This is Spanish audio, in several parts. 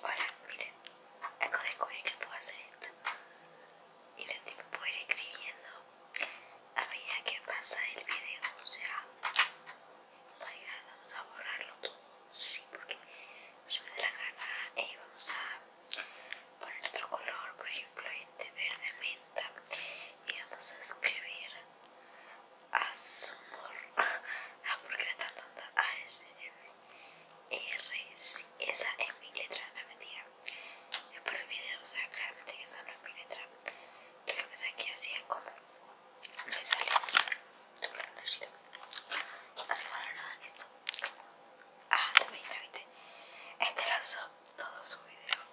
Hola, miren, acabo de descubrir que puedo hacer esto. Y lo tipo puedo ir escribiendo a medida que pasa el video. O sea, vamos a borrarlo todo. Sí, porque yo me da la gana. y eh, vamos a poner otro color, por ejemplo, este verde menta. Y vamos a escribir a ah porque era tan tonta, a S, R, s esa es mi letra, la mentira. Es por el video, o sea, claramente que esa no es mi letra. Lo que pasa es que así es como me sale, o sea, así para nada, esto. Ah, también la viste. Este lanzó todo su video.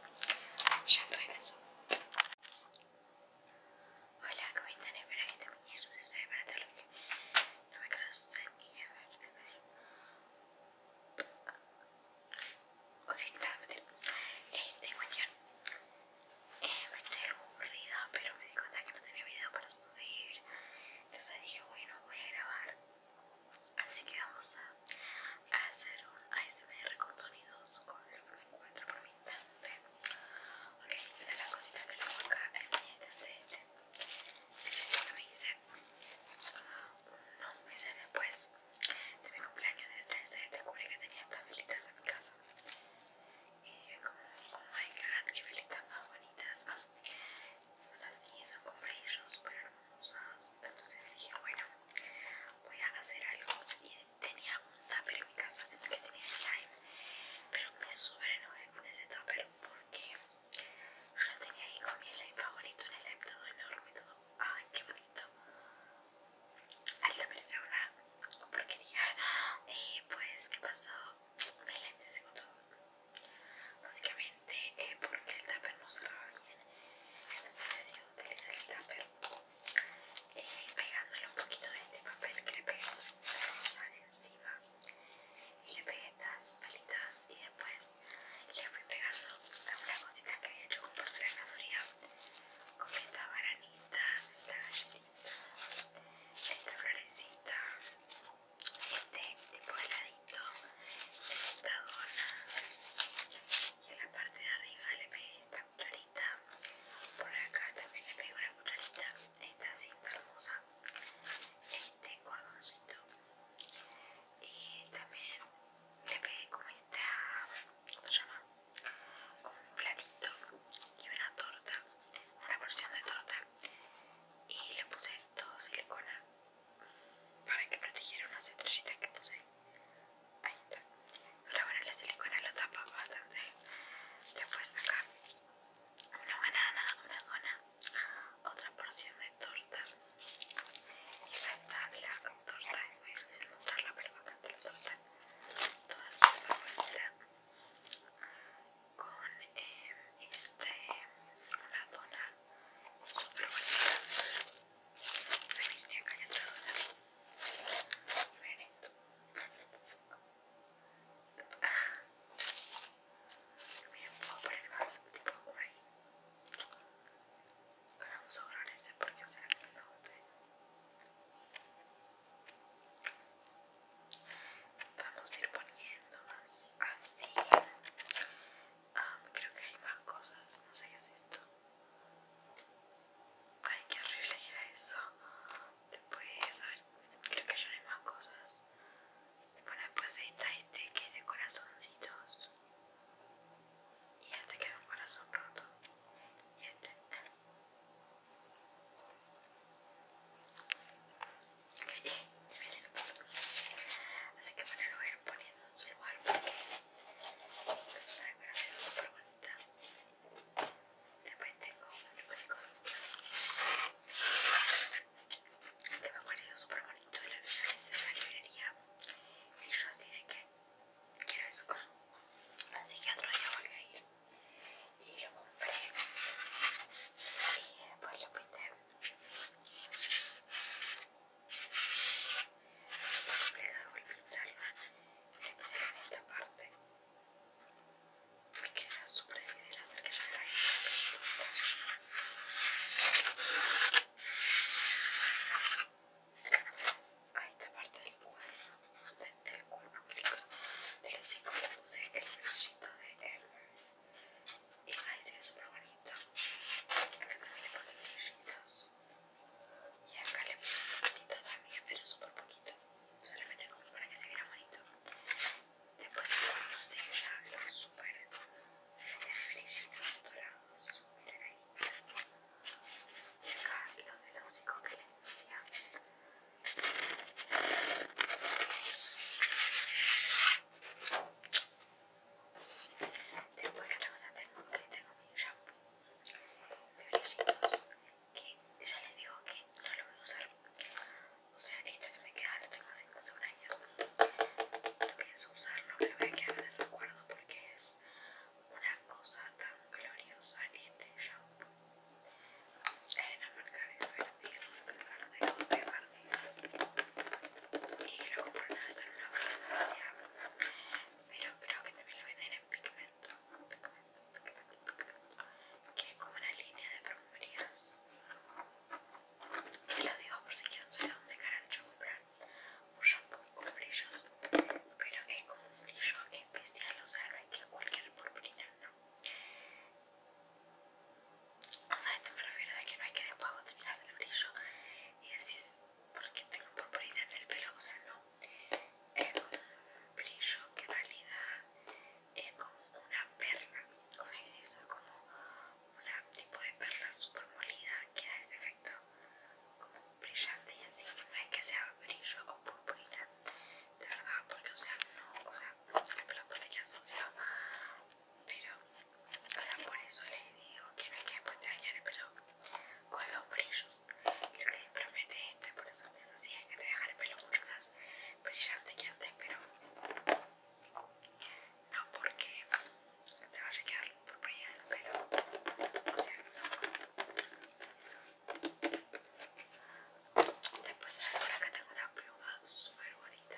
Ya eso Hola, ¿cómo están? Espera que este bien. se soy para todos que no me conocen y a ver. Ok, nada, meter. Este, cuestión. Eh, me estoy aburrida, pero me di cuenta que no tenía video para subir. Entonces dije, bueno, voy a grabar. Así que vamos a, hacer un ASMR con sonidos con lo que me encuentro por mí. Ok, una de las cositas que tengo acá es mi este. Este que me hice unos meses después de mi cumpleaños de 13 descubrí que tenía estas velitas en mi casa. Y como, oh my god, qué velitas más bonitas. son así, son como brillos súper hermosas. Entonces dije, bueno, voy a hacer algo. Y tenía un tupper en mi casa en el que tenía slime pero me súper enojé con ese tupper porque yo lo tenía ahí con mi slime favorito un slime todo enorme todo ay qué bonito el tupper era una porquería y eh, pues qué pasó mi slime se secó todo básicamente eh, porque el tupper no cerraba bien entonces decidí utilizar el tupper y eh, pegándole un poquito de este papel que le pegué para usar encima y le pegué estas pelitas y después le fui pegando algunas cositas que había hecho con porcelana fría con estas baranitas, esta galletita, esta florecita este tipo de heladito esta dona y en la parte de arriba le pegué esta por acá también le pegué una cucharita, Esta así hermosa. Este cordoncito. Y también le pegué como esta. ¿Cómo se llama? Como un platito y una torta. Una porción de torta. Y le puse todo silicona para que protegiera unas estrellitas que puse Ahí está. Pero bueno, la silicona lo tapa bastante. puedes sacar una banana, una dona, otra porción de torta. Y acá la torta. Voy a revisar pero pero acá cantar la torta. Toda su bonita. Con eh, este, una dona. Súper bonita. Ahí acá la otra dona. Benito. esto, Miren, puedo poner más tipo ahí. vamos a borrar este porque o sea no Vamos a ir poniendo más así. Ah, creo que hay más cosas. No sé qué es esto. Ay, qué horrible que era eso. Después, a creo que yo no hay más cosas. Bueno, después ahí está este que de corazoncitos. Y este queda un corazón roto. Y este. Eh, Así que bueno, lo voy a ir poniendo en su lugar porque es una súper bonita. Después tengo un unicornio que me ha parecido súper bonito y lo vi en la librería y yo así de que quiero eso así que otro día volví a ir y lo compré y después lo pinté es súper complicado volver a pintarlo empezar en esta parte porque es súper difícil hacer que salga ahí a esta parte del cuerno, de, del cuerpo de los cinco le puse el brillito de Elvis y ahí se ve súper bonito acá también le puse brillitos y acá le puse un poquito también, pero súper poquito. Solamente como para que se viera bonito. Después no se los super reflejitos lado, súper ahí. Y acá los del que les decía. Después que otra cosa tengo que tengo mi shampoo de brillitos que ya les digo que no lo voy a usar o sea esto se me queda lo tengo así hace un año no pienso usarlo me lo a quedar en el recuerdo porque es una cosa tan gloriosa este shampoo es de una marca de Fertil de Fertil y lo que una vez en una pero creo que también lo venden en pigmento que es como una línea de perfumerías y lo digo por si quieren saber dónde carancho comprar un shampoo con brillos pero es como un brillo especial o sea no es que cualquier purpurina no o sea esto me refiero a que no es que después vos terminas el brillo y decís porque tengo purpurina en el pelo o sea no es como un brillo que en realidad es como una perla, o sea, eso es como una tipo de perla super molida que da ese efecto como brillante y así, no es que sea brillo o purpurina, de verdad, porque o sea, no, o sea, es la purpurina asociada, pero, o sea, por eso les digo que no es que después te dañen el pelo con los brillos lo que promete este por eso es así hay que dejar el pelo mucho más brillante que antes pero no porque te vaya a quedar por brillar el pelo después después ahora acá tengo una pluma super bonita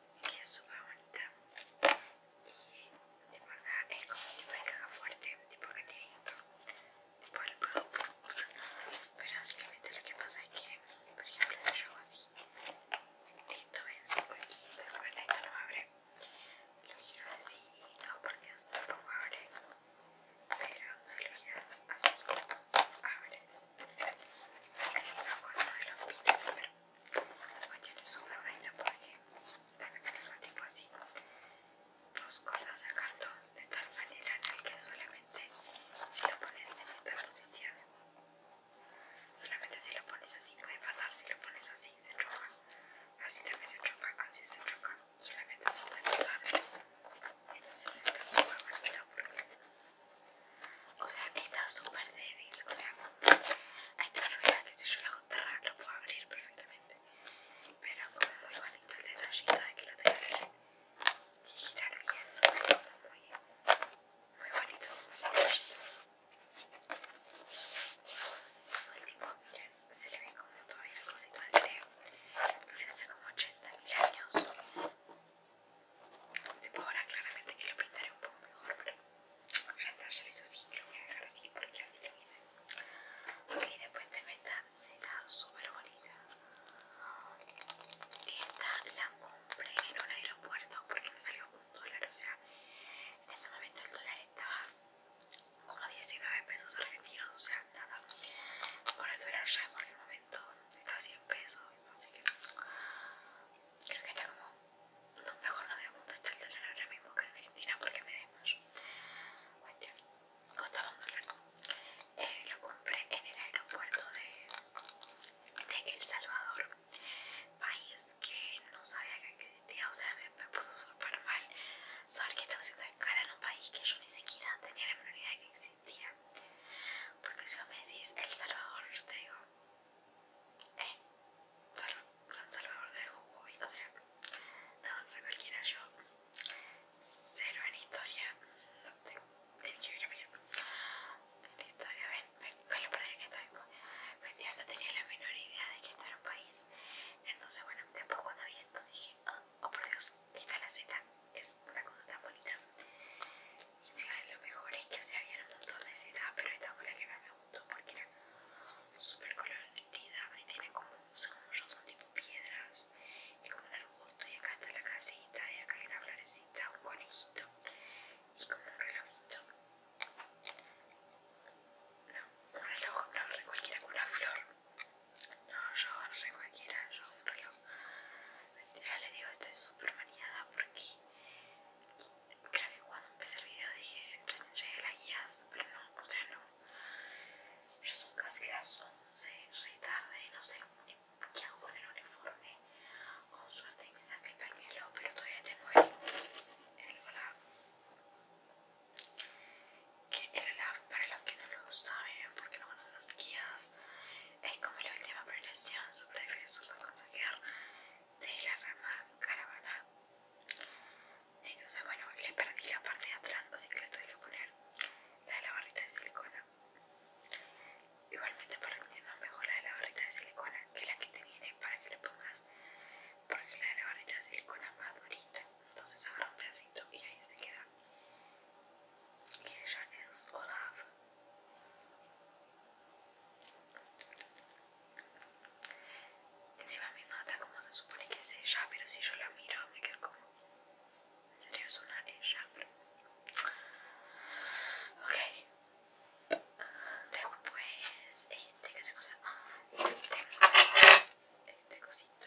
que es súper bonita y de verdad es como un tipo de caja fuerte tipo que tiene esto tipo el producto pero básicamente lo que pasa es que por ejemplo si yo hago así esto ven bueno, esto no abre lo giro así no porque esto no abre pero si lo giras así abre así no con de los pinches pero Ayer estuve riendo porque el tipo así dos cosas de cartón de tal manera en que solamente si lo pones en esta posición solamente si lo pones así puede pasar si lo pones así se choca así también se choca así se choca solamente se puede pasar entonces está súper bonito porque o sea, está súper débil. O sea, hay que ver que si yo la juntarra lo puedo abrir perfectamente. Pero como muy bonito el detallito de que lo tengo que, girar bien, no muy, muy bonito. El último miren, se le ve como todavía el cosito del lo hace como 80.000 años. Tipo ahora claramente que lo pintaré un poco mejor, pero rentar ya lo hizo así que lo voy a dejar así porque así lo hice. Ok, después de meta seca super bonita. y Esta la compré en un aeropuerto porque me salió un dólar, o sea, en ese momento el dólar estaba como 19 pesos argentinos, o sea, nada. Ahora el dólar ya por el momento está 100 pesos, así que Creo que está como. mejor no digo cuánto está el dólar ahora mismo que en Argentina porque me desmayo. Cuestión, costaba un dólar. Eh, lo compré en el aeropuerto de, de El Salvador, país que no sabía que existía, o sea, me, puso súper mal saber que estaba haciendo escala en un país que yo ni siquiera tenía la menor idea de que existía. Porque si vos me decís El Salvador, yo te digo, eh, San Salvador del jugo o sea, no, no cualquiera yo. Cero en historia, no tengo, en geografía. En historia, ven, ven, con lo perdí que estoy. Pues ya pues, no tenía la menor idea de que esto era un país. Entonces, bueno, tampoco cuando vi esto dije, oh, oh por Dios, esta la es una cosa tan bonita. Y sea, lo mejor es que, o sea, había un montón de setas, pero esta fue la que más me gustó porque era super colorida y tiene como, o sea, como yo, son tipo piedras y como un arbusto y acá está la casita y acá hay una florecita, un conejito y como un relojito. No, un reloj, no, re cualquiera con una flor. No, yo no re cualquiera, yo un reloj. mentira le digo, estoy super maniada porque Creo que cuando empecé el video dije recién llegué las guías, pero no, o sea, no. Ya son casi las 11, re tarde, no sé qué hago con el uniforme. Con suerte y me saqué el pañuelo, pero todavía tengo el, el olaf. Que el olaf, para los que no lo saben, porque no conocen las guías, es como la última prelación sobre el filósofo consejero de la rama caravana. Entonces, bueno, le perdí la parte de atrás, así que le tuve que poner la de la barrita de silicona. Igualmente, para que entiendan mejor la de la barrita de silicona que la que te viene para que le pongas, porque la de la barrita de silicona es más durita. Entonces, agarra un pedacito y ahí se queda. Y ella es Olaf. Zima mi mata como se supone que es ella, pero si yo la miro me quedo como... ¿En serio es una ella? Ok. Después, este, ¿qué otra cosa? Ah, este, este cosito.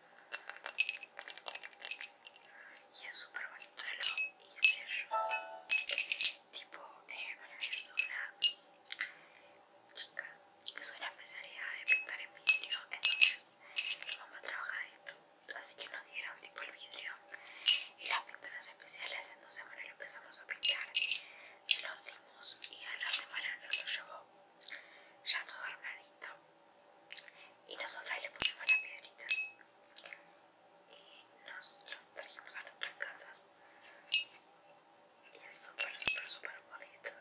Y es súper bonito, lo hice Tipo, eh, es una chica que soy una especialidad de pintar en vidrio, entonces vamos a trabajar esto. Así que nos dieron tipo el vidrio y las pinturas especiales, entonces dos lo empezamos a pintar, se los dimos y a la semana nos lo llevó ya todo armadito y nosotras le pusimos las piedritas y nos lo trajimos a nuestras casas y es súper súper súper bonito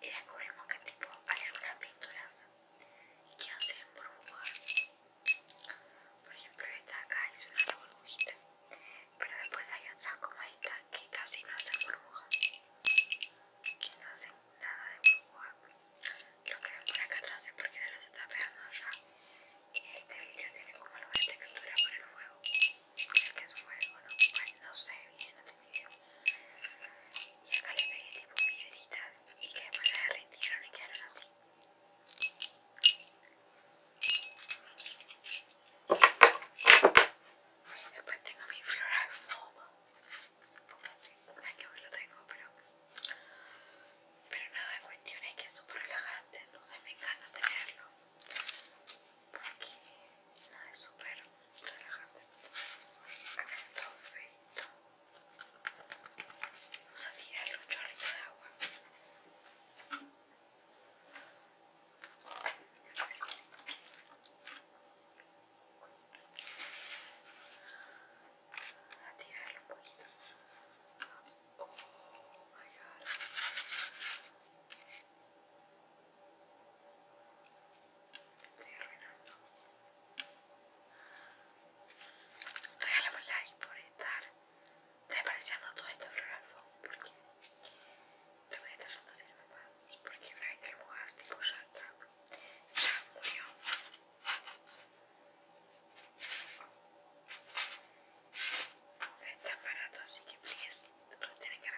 y descubrimos que tipo hay algunas pinturas que hacen burbujas por ejemplo esta acá es una burbujita pero después hay otras como esta que casi no hacen burbujas que no hacen nada de burbuja lo que ven por acá atrás es porque no los está pegando acá y este vídeo tiene como algo de textura por el fuego creo que es fuego no no sé bien no tengo idea y acá le pegué tipo piedritas y que después se derritieron y quedaron así Después tengo mi flora foam Sí, años que lo tengo, pero. Pero nada, cuestión es que es súper relajante, entonces me encanta tenerlo. Porque nada, es súper relajante. acá Perfecto. Vamos a tirarle un chorrito de agua a tirarlo un poquito. Oh my god. Estoy arruinando. Regálame un like por estar despreciando todo este floral foam porque te voy a estar no sirve más. Porque una vez que lo mojas tipo ya ya este murió. No barato, así que please, tienen que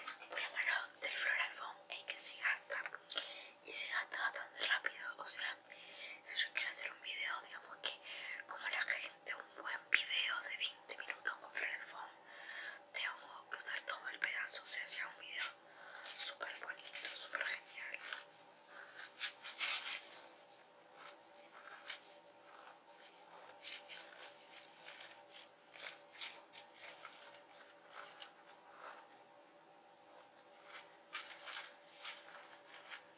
Es un tipo Por lo malo del florafón es que se gasta y se gasta bastante rápido, o sea, si yo quiero hacer un video, digamos que como la gente, un buen video de 20 minutos con el Phone, tengo que usar todo el pedazo, se sea, un video súper bonito, súper genial.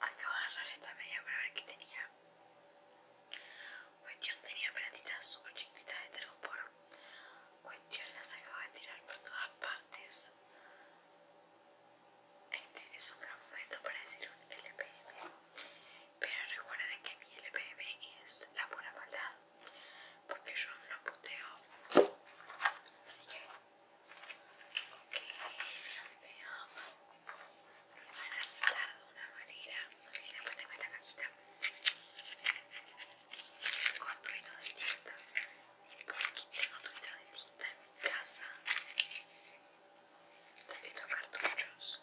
Acabo de agarrar esta media para ver qué tenía. Cuestión tenía platitas súper chiquititas de tergopor Cuestión, las acabo de tirar por todas partes. Este es un gran momento para decir un LPM. Pero recuerden que mi LPM es la pura maldad. Porque yo no puteo. Así que. Ok, te amo. Me van a retar de una manera. Mira, después tengo esta cajita con ruido de tinta. Porque tengo ruido de tinta en mi casa. visto cartuchos.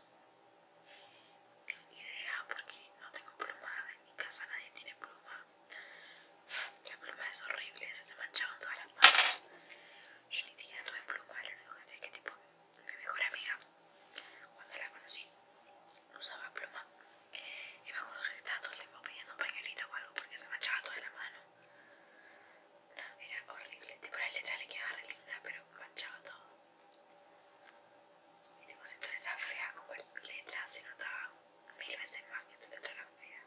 Idea porque no tengo pluma. En mi casa nadie tiene pluma. La pluma es horrible, se te en todas las manos. Yo ni siquiera tuve pluma, lo único que sé es que tipo mi mejor amiga, cuando la conocí, no usaba pluma. Y me acuerdo que estaba todo el tiempo pidiendo un pañuelito o algo porque se manchaba toda la mano. era horrible. Tipo la letra le quedaba linda, pero manchaba todo. Y tipo si tu letra fea como letra se notaba mil veces más que tu letra era fea.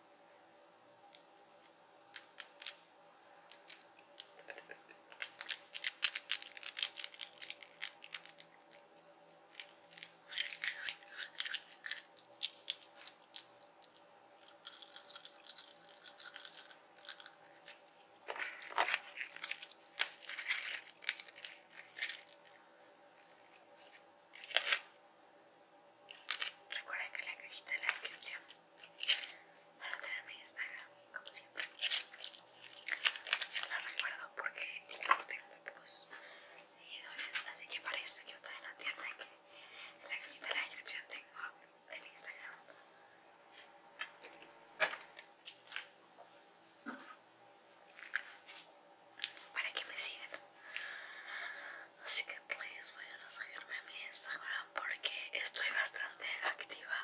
Recuerda que la cajita de la descripción para a tener mi Instagram, como siempre. Yo no recuerdo porque tengo muy pocos seguidores, así que parece que está en la tienda que en la cajita de la descripción tengo el Instagram. Para que me sigan. Así que please vayan a seguirme mi Instagram porque estoy bastante activa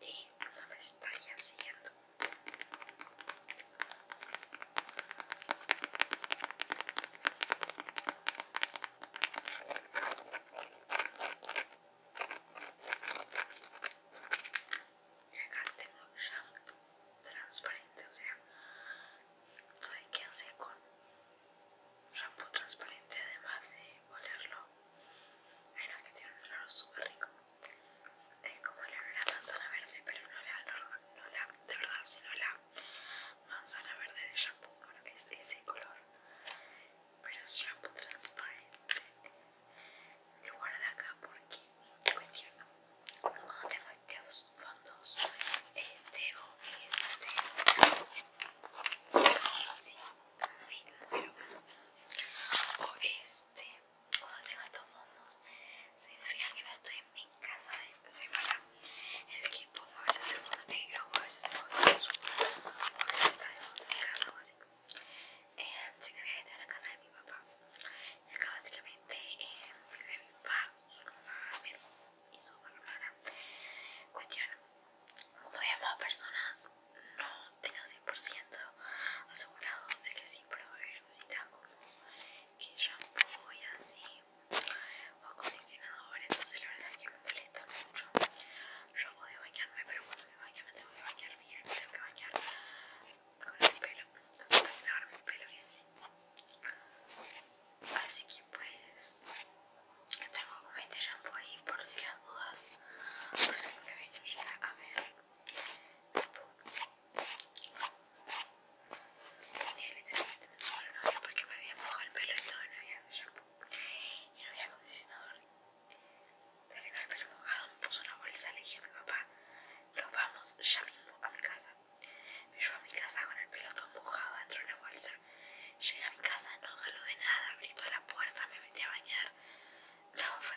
y no me estarían siguiendo. Y acá tengo shampoo transparente, o sea, soy que con shampoo transparente además de olerlo. Hay es que tiene un olor súper rico es como la, manzana verde, pero no la, de verdad, sino la manzana verde de shampoo, es ese color, pero es shampoo transparente. Lo guardo acá porque cuestiono cuando tengo estos fondos, este o este, casi o este. este cuando tengo estos fondos significa que no estoy en mi casa de semana el equipo a veces el fondo negro a veces el fondo azul a veces está de fondo negro o así eh, significa que estoy en la casa de mi papá y acá básicamente mi eh, papá, su mamá, mi y su hermana cuestión como vemos, a personas no tengo 100% asegurado de que sí pero si haber como que shampoo y así o acondicionador, entonces la verdad es que me molesta mucho. Yo a bañarme, pero cuando me baño me tengo que bañar bien, tengo que bañar con el pelo, no tengo que lavar mi pelo bien así. Así que pues tengo como este shampoo ahí por si las dudas, por si me a ver. Tenía literalmente me solo el porque me había mojado el pelo y todo, no había shampoo y no había acondicionador. Salí con el pelo mojado, me puso una bolsa le dije a mi papá, nos vamos ya mismo a mi casa. Me llevó a mi casa con el pelo todo mojado dentro de una bolsa. Llegué a mi casa, no de nada, abrí toda la puerta, me metí a bañar. No, fue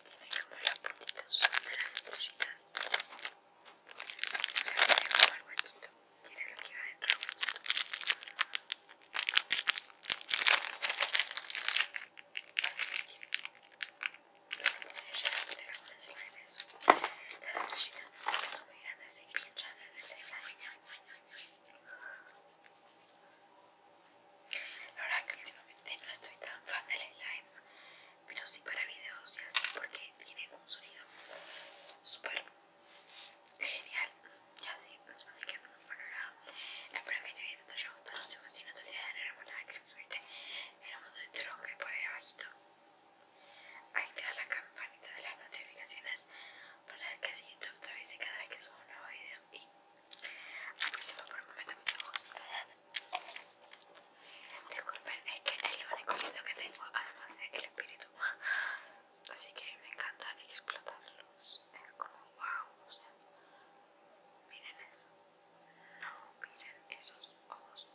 tienen como los puntitos de las estrellitas. O sea, tiene como el huechito, tiene lo que va dentro del huechito. Así que, ya la poner alguna encima de eso. Las estrellitas son muy La verdad que últimamente no estoy tan fan del slime, pero sí para videos y así porque tiene un sonido super genial ya así. Así que bueno nada, espero que te haya gustado. si sé si no te olvides de darle like, like, suscribirte en el botón de este que por ahí abajito. Activa la campanita de las notificaciones para que así YouTube te avise cada vez que subo un nuevo video aunque se va por el momento mis ojos. Disculpen, es que es el único que tengo, además del espíritu. Así que me encanta explotarlos. Es como wow, miren eso. No, miren esos ojos.